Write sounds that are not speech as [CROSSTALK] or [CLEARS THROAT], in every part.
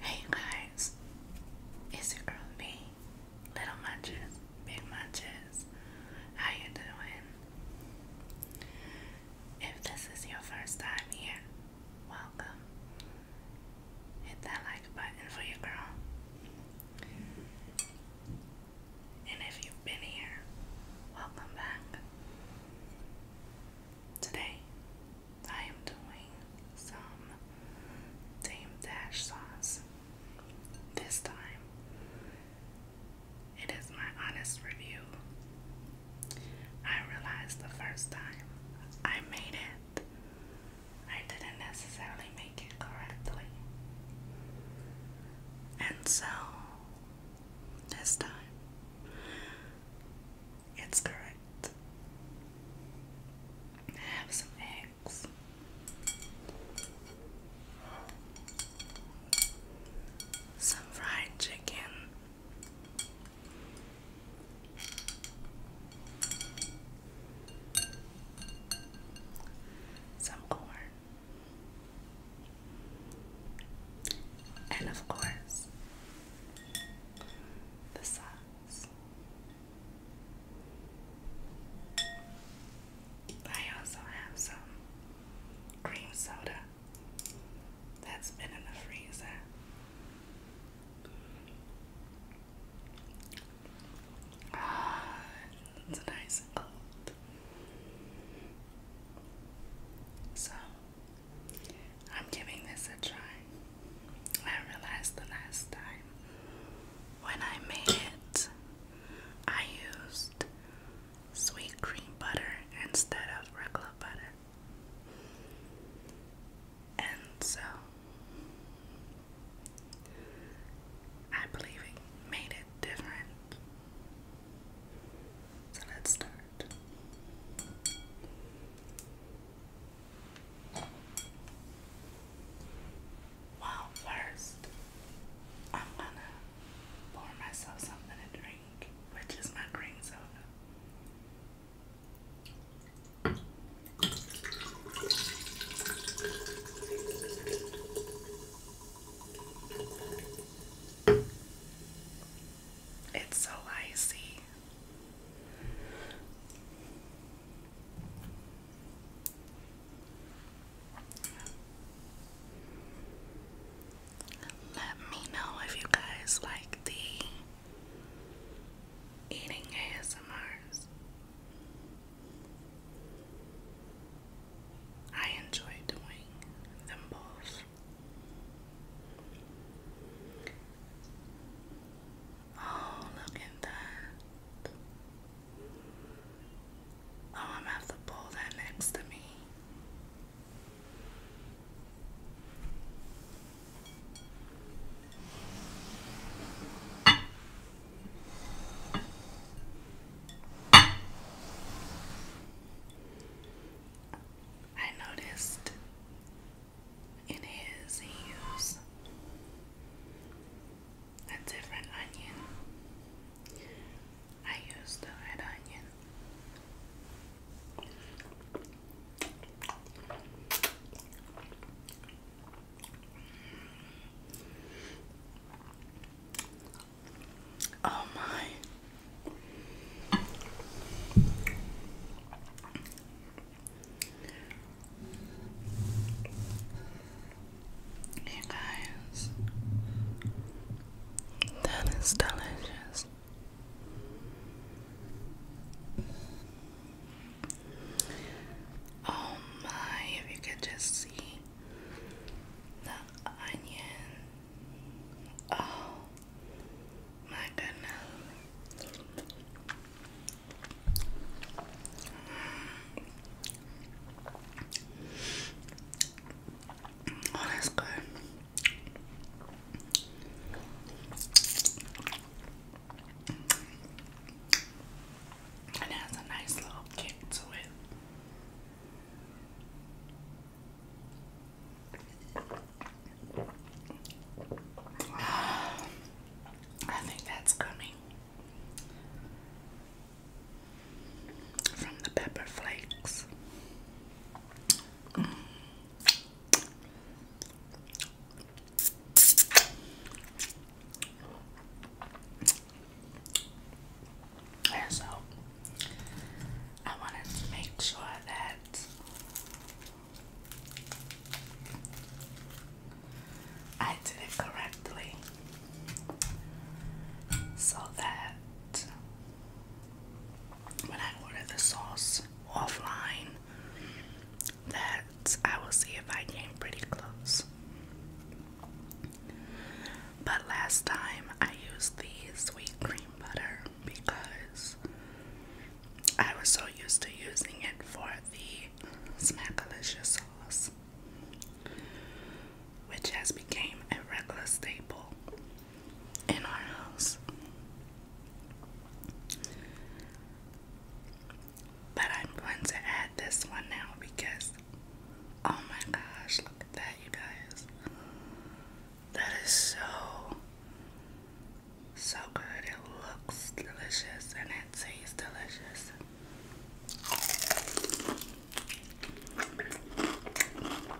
Hey guys, it's your girl me, Little Munches, Big Munches. How you doing? If this is your first time here, welcome. Hit that like button for your girl. And if you've been here, welcome back. Today, I am doing some Dame Dash sauce. This time, it is my honest review I realized the first time I made it, I didn't necessarily make it correctly. And so, this time, it's correct. have some eggs. Some fried chicken, some corn, and of course, the sauce. I also have some cream soda that's been in the freezer. Ah, it's nice and cold. So, I'm giving this a try. I realized the last time when I made it, I used sweet cream butter instead of regular butter. And so I believe it made it different. So let's start. Well, first, I'm gonna pour myself something to drink which is my green zone. It's so icy. Let me know if you guys like the eating ASMRs. I enjoy doing them both. Oh, look at that. Oh, I'm going to pull that next to me. I noticed in his he used a different onion. I use the red onion. Oh my. You guys, that is delicious. Oh my, if you could just see the onion. Oh my goodness that's good. it has a nice little kick to it. [SIGHS] I think that's coming from the pepper flakes. so I wanted to make sure that I did it correctly so that when I ordered the sauce offline that I will see if I came pretty close. But last time I used the sweet cream butter because I was so used to using it for the Smackalicious sauce, which has become a regular staple in our house. But I'm going to add this one now because oh my gosh, look at that, you guys. That is so, so good. It looks delicious and it tastes delicious.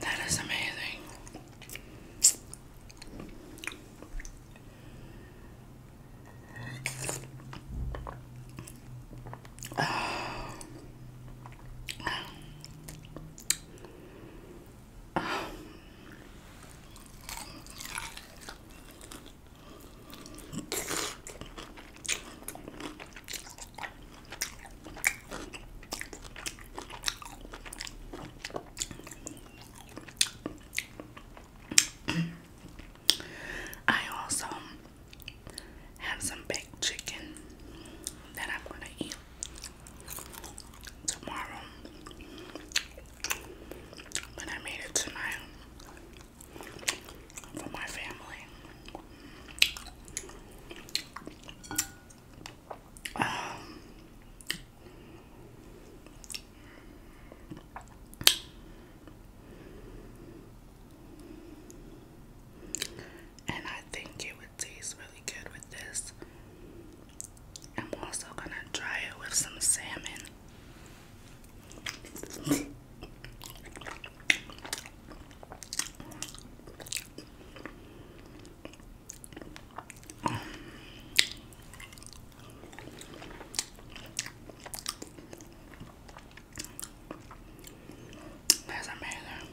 That is amazing. I also have some baked chicken that I'm going to eat tomorrow when I made it to for my family. Um, and I think it tastes really good with this. I'm also gonna try it with some salmon. That's amazing.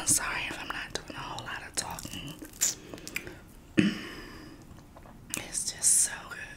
I'm sorry if I'm not doing a whole lot of talking. it's just so good.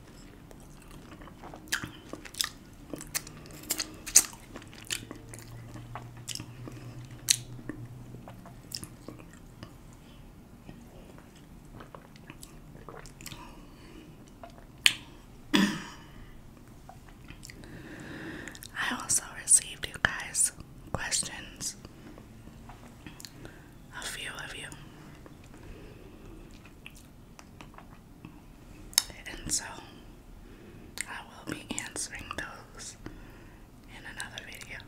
I also received you guys questions. A few of you. And so I will be answering those in another video.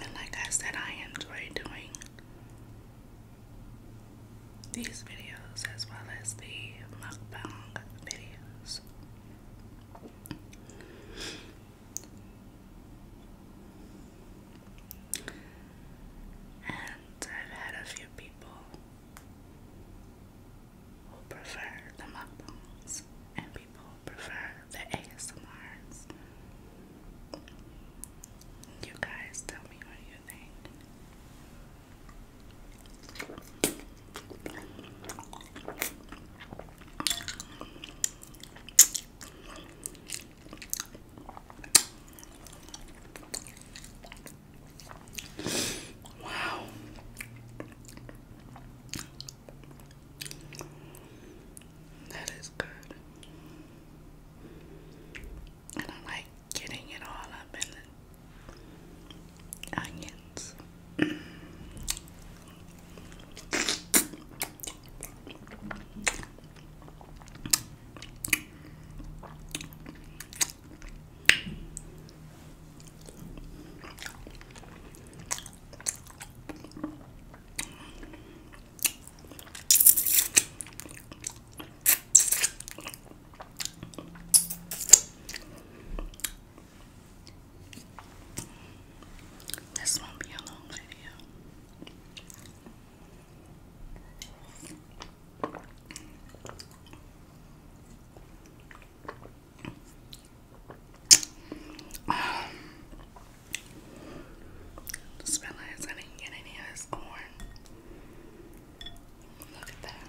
And like I said, I enjoy doing these videos as well as the mukbang videos. And I've had a few people who prefer the mukbangs and people prefer the ASMRs. You guys tell me what you think. Wow. That is good. And I like getting it all up in the onions. This won't be a long video. Um, just I didn't get any of this corn. Look at that.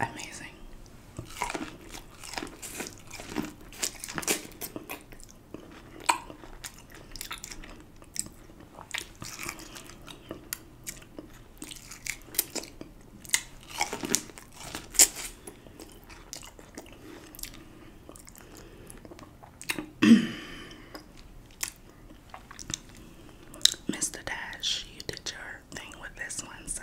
Wow. Amazing. [CLEARS THROAT] Mr. Dash, you did your thing with this one, sir.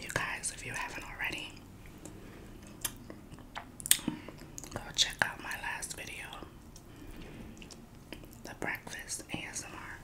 You guys, if you haven't already, go check out my last video, The Breakfast ASMR.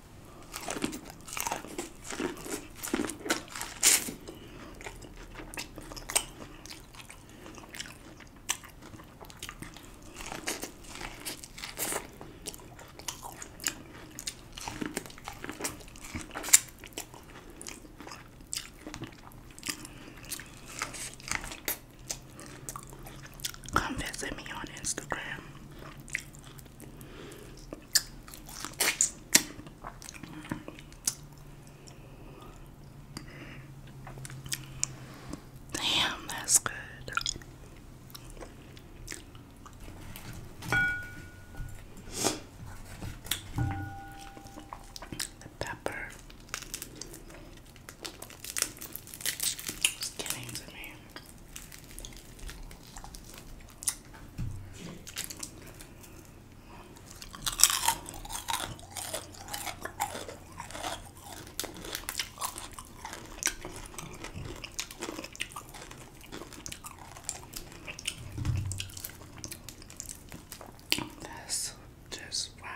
Come visit me on Instagram Damn, that's good. The pepper is getting to that's just wow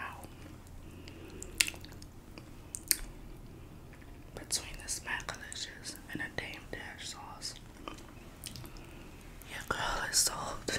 between the smackalicious and the dame dash sauce. Your girl is sold.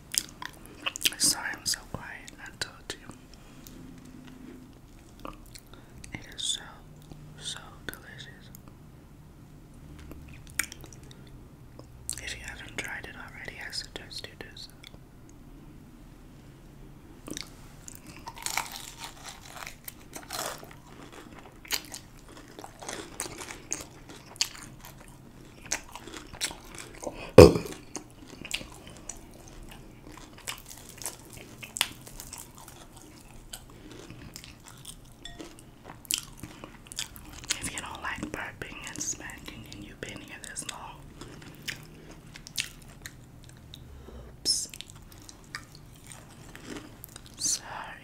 I'm Sorry, I'm so quiet. I told you. It is so, so delicious. If you haven't tried it already, I suggest you do so. If you don't like burping and smacking and you've been here this long, oops, sorry.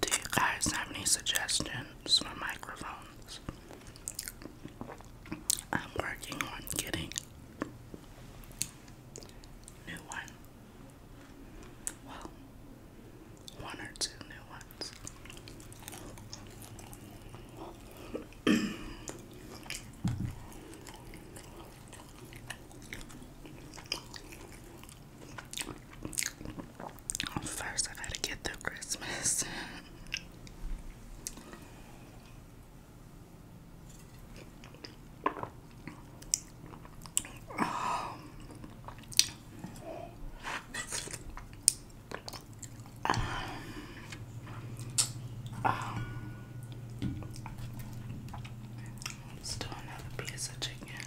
Do you guys have any suggestions for microphones? I'm working on getting new one. Well, one or two new ones. First, I gotta get through Christmas. Um, um, um, let's do another piece of chicken.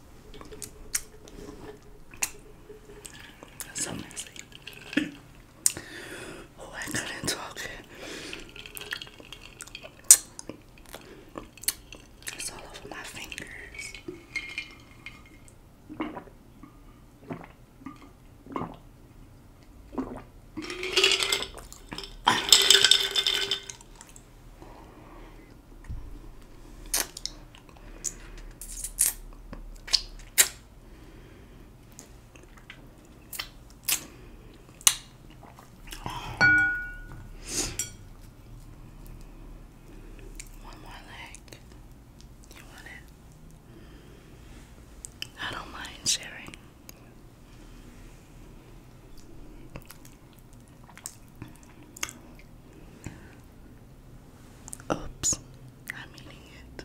That's so messy. [COUGHS] oh, I couldn't talk It's all over my fingers. One more leg. You want it? I don't mind sharing. Oops, I'm eating it.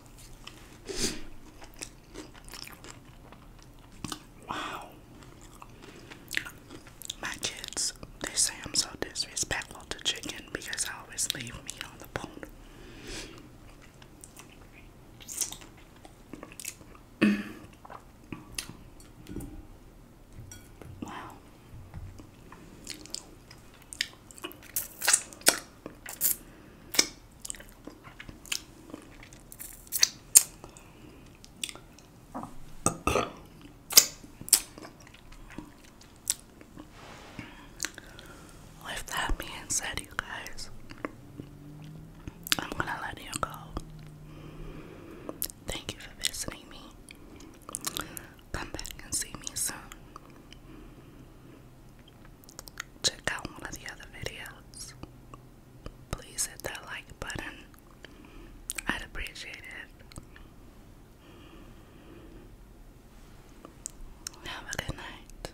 Wow. My kids, they say I'm so disrespectful to chicken because I always leave me on the bone. [CLEARS THROAT] wow. With that being said, you guys, I'm gonna let you go. Thank you for visiting me. Come back and see me soon. Check out one of the other videos. Please hit that like button. I'd appreciate it. Have a good night.